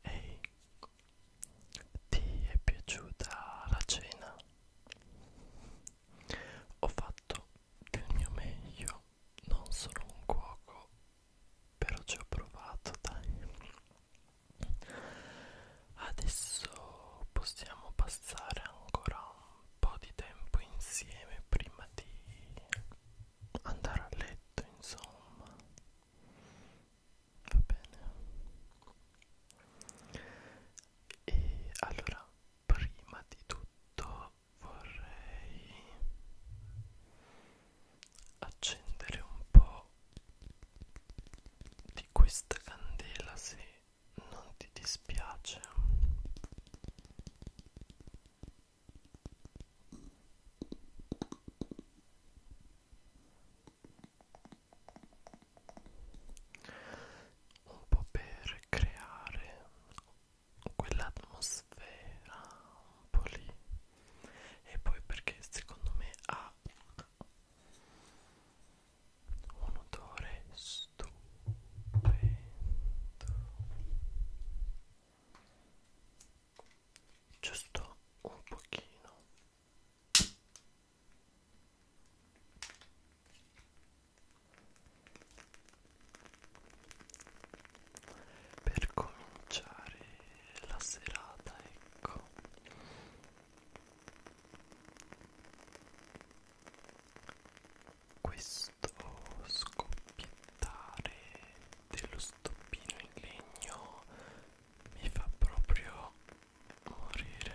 Ehi, ti è piaciuta la cena? Ho fatto del mio meglio, non sono un cuoco, però ci ho provato, dai. Adesso possiamo passare ancora un po' di tempo insieme prima di andare a letto, insomma. Va bene. E allora, prima di tutto vorrei accendere un po' di questa candela se non ti dispiace un po' per creare quell'atmosfera un po' lì e poi perché secondo me ha un odore stupendo giusto un pochino per cominciare la serata, ecco. Questo scoppiettare dello stoppino in legno mi fa proprio morire.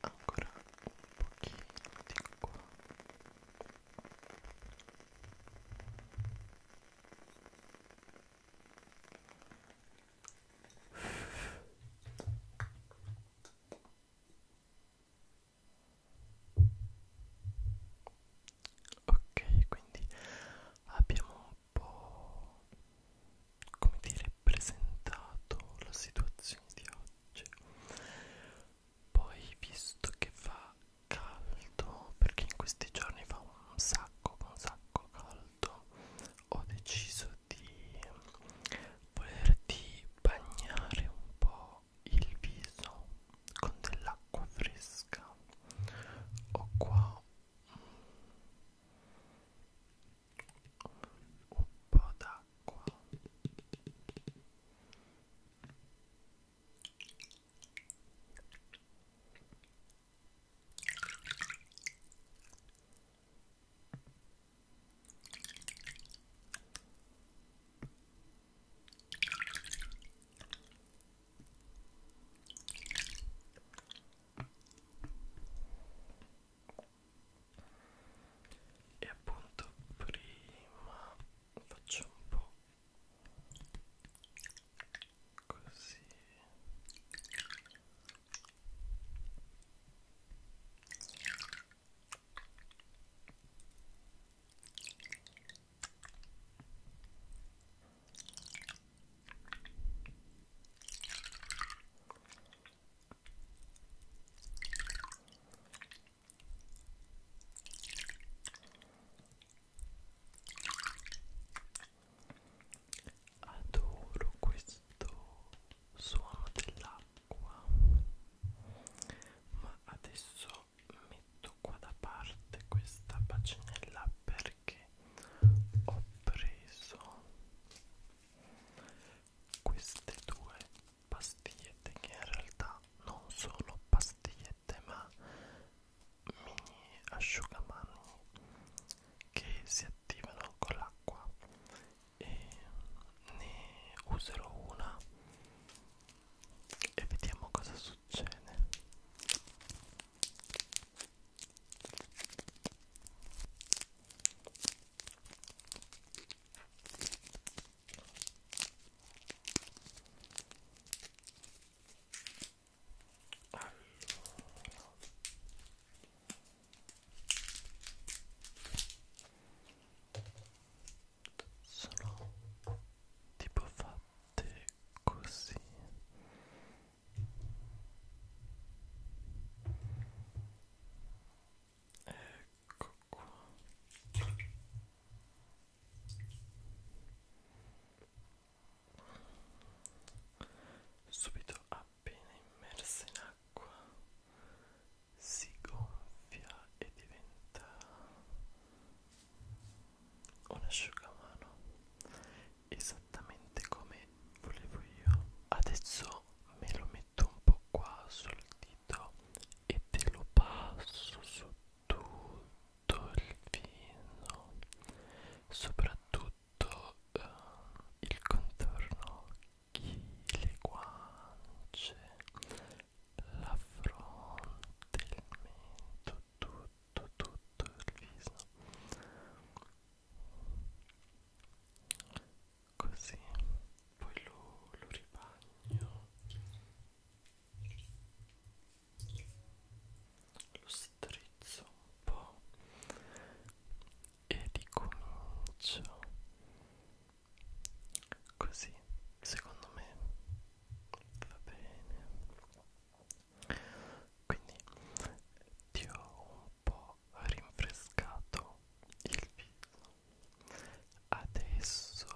ancora un pochino di qua ok quindi abbiamo un po' come dire presentato la situazione di oggi poi visto che fa caldo perché in questi giorni fa un sacco un sacco caldo ho deciso di volerti bagnare un po' il viso con dell'acqua fresca ho qua un po' d'acqua e appunto prima faccio un po' così e Adoro questo suono dell'acqua, ma adesso adesso metto qua da parte questa bacinella perché ho preso queste due pastigliette che in realtà non sono pastigliette ma mini asciugamani che si attivano con l'acqua e ne userò una e vediamo cosa succede allora sono tipo fatte così ecco qua subito appena immersa in acqua si gonfia e diventa un asciugamano esattamente come volevo io adesso me lo metto un po' qua sul dito e te lo passo su tutto il vino soprattutto eh, il contorno le guance, la fronte, il mento, tutto, tutto il viso. Così, poi lo, lo ribagno, lo strizzo un po' e ricomincio così secondo me va bene quindi ti ho un po' rinfrescato il viso adesso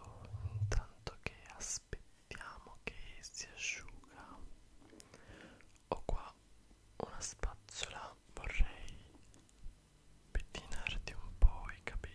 intanto che aspettiamo che si asciuga ho qua una spazzola vorrei pettinarti un po' i capelli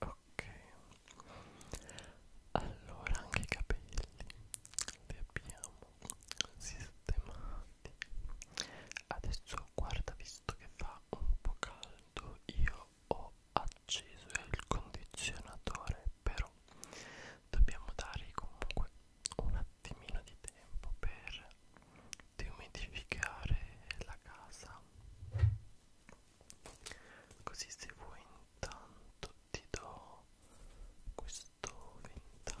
Ok, allora anche i capelli li abbiamo sistemati. Adesso guarda, visto che fa un po' caldo, io ho acceso il condizionatore però dobbiamo dare comunque un attimino di tempo per deumidificare la casa così se vuoi intanto ti do questo ventaglio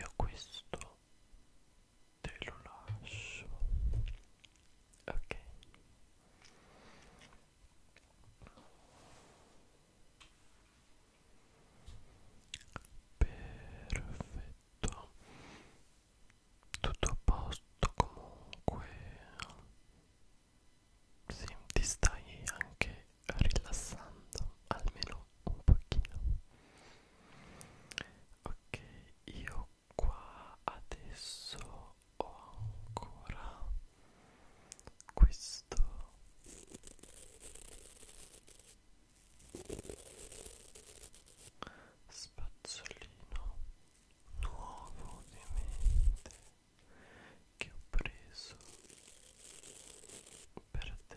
Io questo te lo lascio ok perfetto tutto a posto comunque sì, ti stai anche rilassando almeno un pochino ok io qua adesso ho ancora questo spazzolino nuovo ovviamente che ho preso per te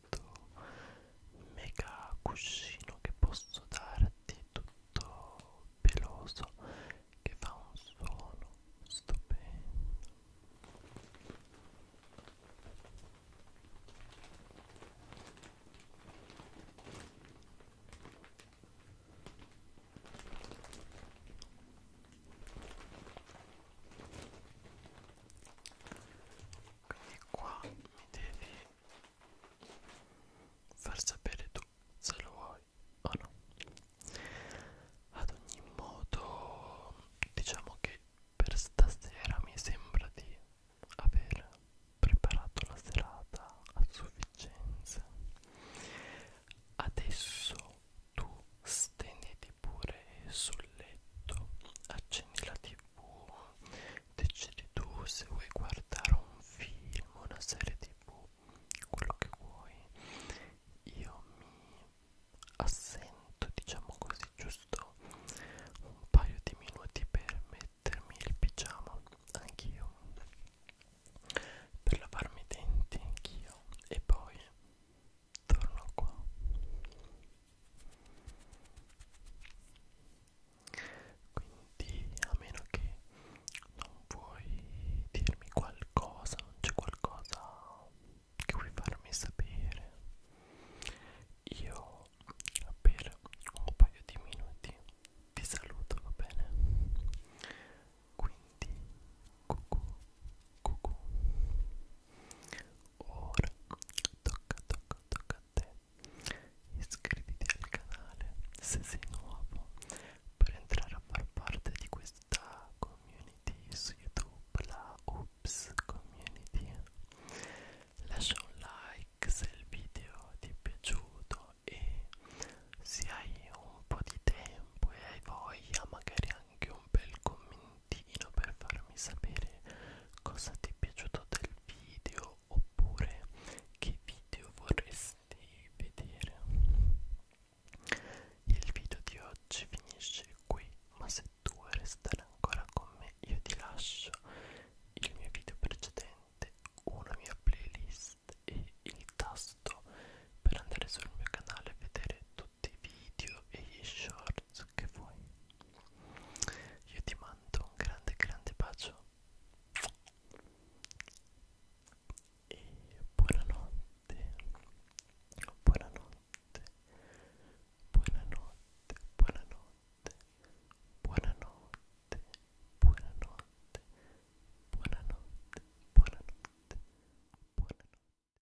questo mega cuscino che posso darti tutto peloso che fa un suono stupendo quindi qua mi devi far sapere tu se lo vuoi o no ad ogni modo diciamo che per stasera mi sembra di aver preparato la serata a sufficienza adesso tu stenditi pure sul letto accendi la tv tv decidi tu se vuoi guardare un film una serie tv quello che vuoi io mi assento diciamo così giusto un paio di minuti per mettermi il pigiama anch'io per lavarmi i denti anch'io e poi torno qua quindi a meno che non vuoi dirmi qualcosa non c'è qualcosa che vuoi farmi sapere io per un paio di minuti ti saluto va bene quindi cucù cucù Ora tocca, tocca, tocca a te. Iscriviti al canale se sei nuovo per entrare a far parte di questa community su YouTube, la Oops Community. Lascia un like se il video ti è piaciuto e se hai un po' di tempo e hai voglia magari anche un bel commentino per farmi sapere cosa ti è piaciuto del video oppure che video vorresti vedere il video di oggi finisce qui ma se tu vuoi restare ancora con me io ti lascio il mio video precedente una mia playlist e il tasto per andare sul mio canale e vedere tutti tutti i video e gli shorts che vuoi io ti mando un grande grande bacio e buonanotte buonanotte buonanotte buonanotte buonanotte buonanotte buonanotte buonanotte buonanotte